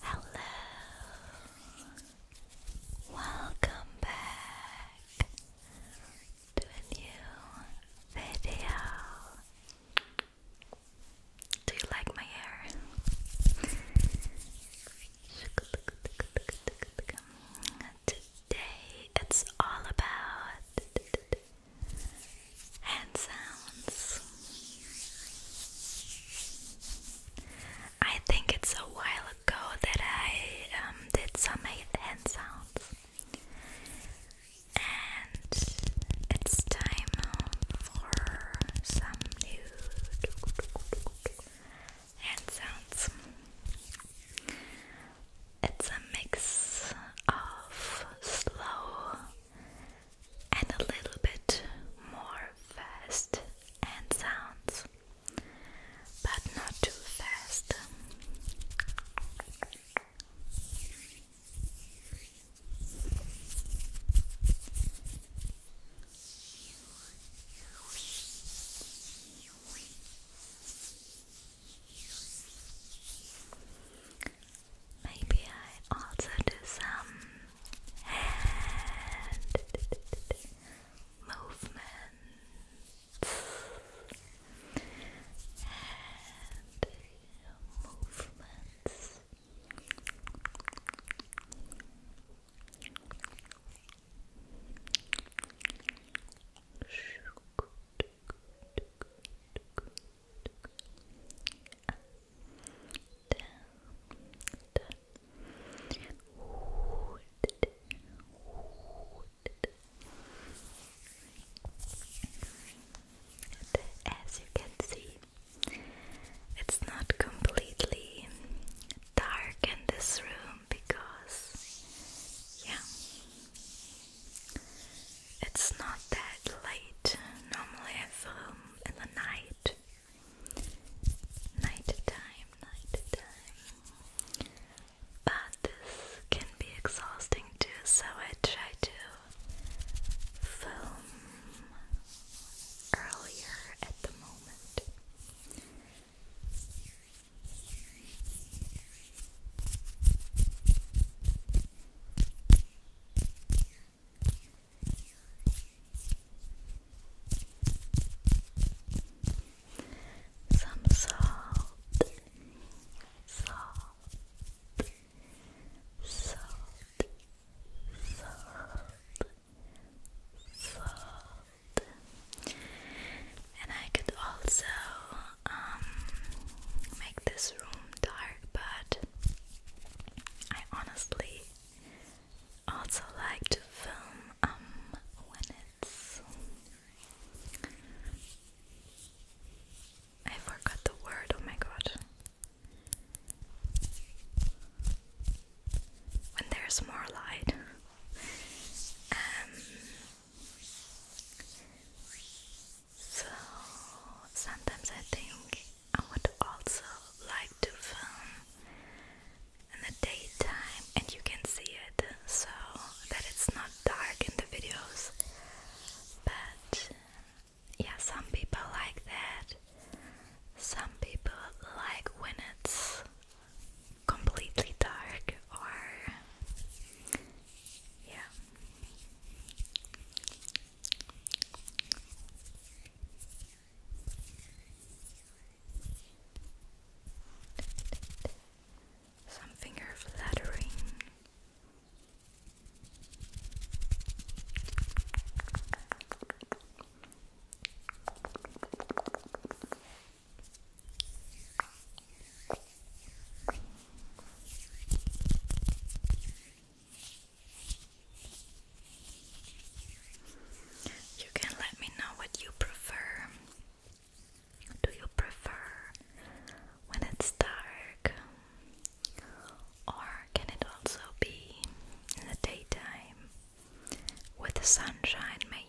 Hello, welcome back to a new video. Do you like my hair? Today it's all about hand sounds. I think it's a while ago that I um, did some hand sounds, and it's time for some new hand sounds. It's a mix of slow and a little bit more fast and sounds, but not too fast. Maybe I also do some hand movements. Hand movements. Shook as you can see, it's not completely dark in this room because, yeah, it's not that late. Normally I film in the night. Night time, But this can be exhausting too, so I try to film earlier at the moment. Some salt, salt, salt, salt, salt, and I could also um, make this room dark, but I honestly also like to film um, when it's. I forgot the word, oh my god. When there's more light. Um, so sometimes I think I would also like to film in the daytime and you can see it so that it's not dark in the videos. But yeah, some people like that. Some people like when it's completely dark or yeah. Some finger flattering. Good. You can let me know what you prefer. Do you prefer when it's dark? Or can it also be in the daytime with the sunshine, maybe?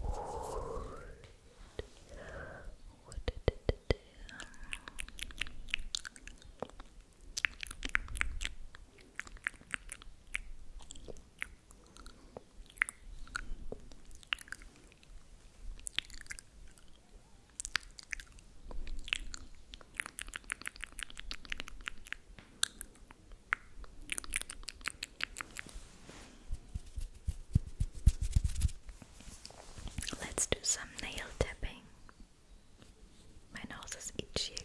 What did it do? Good. Let's do some nail tapping. My nose is itchy again.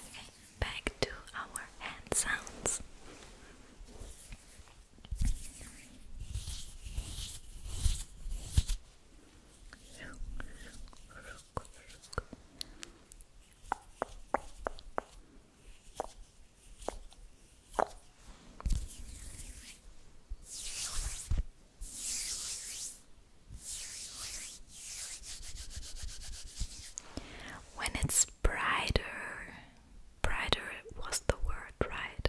Okay, back to our hand sounds. When it's brighter, brighter was the word, right?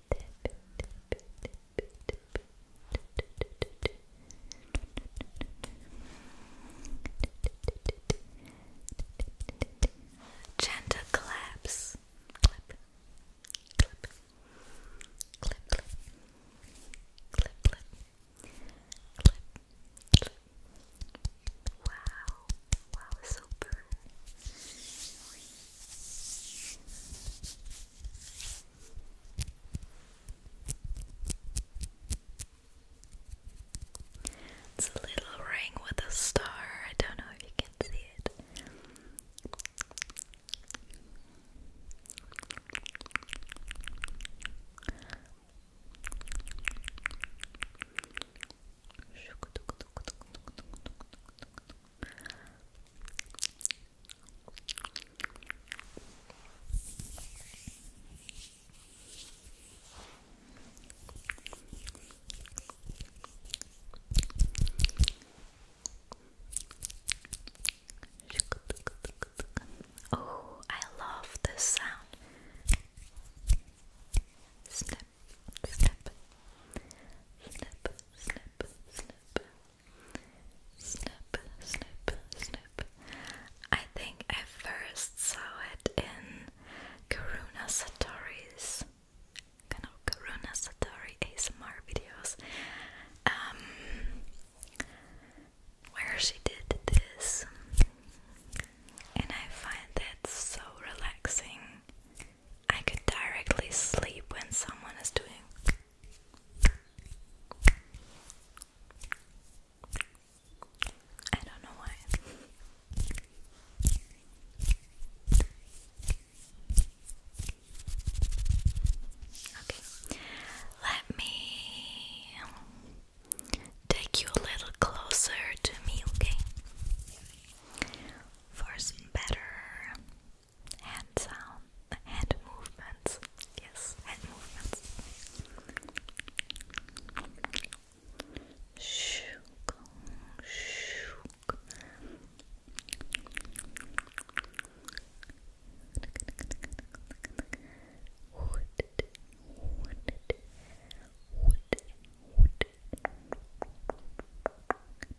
Gentle claps. Clip. Clip. Clip, clip. Clip, clip. Clip, clip. Wow. Wow, super. It's a little ring with a star. I don't know if you can see it. Oh, I love this sound snip, snip, snip, snip, snip, snip, snip. I think I first saw it in Karuna Satori's kind of Karuna Satori ASMR videos. Um where she did this and I find that so relaxing I could directly sleep when someone is doing. I don't know why. Okay, let me take you a little closer to me, okay? For some better hand sound, hand movements. Yes, hand movements. Shook, shook. Wood, wood, wood, wood.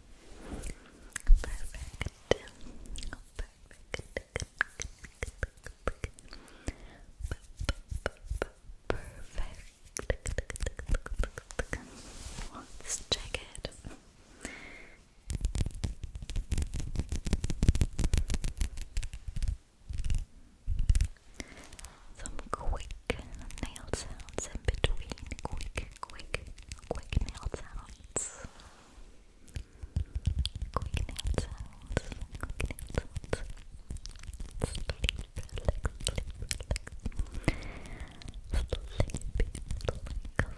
Perfect. Perfect. Perfect. Let's check it. Some quick nail sounds in between. Quick, quick, quick nail sounds. Quick nail sounds. nail sounds. Sleep, relax, sleep, relax. Sleep, relax. Sleep,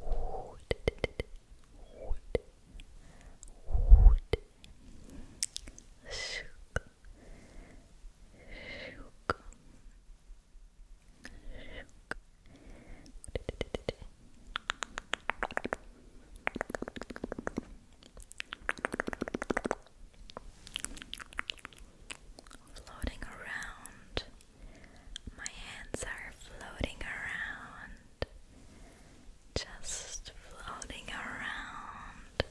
wood, wood, wood, sugar, sugar, floating around my hands are floating around, just floating around.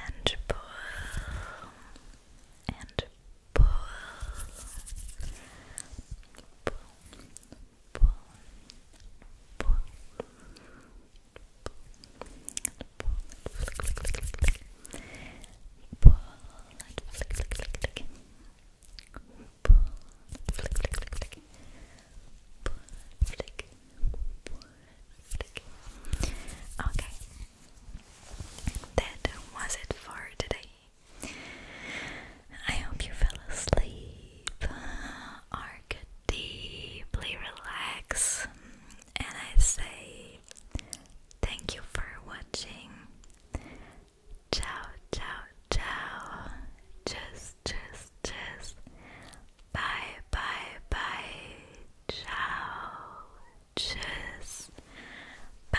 and pull, and pull, pull, pull, Okay, that was it for today. I hope you fell asleep, are deeply relaxed, and I say thank you for watching. Ciao, ciao, ciao. Tschüss, tschüss, tschüss. Bye, bye, bye. Ciao, tschüss. Bye.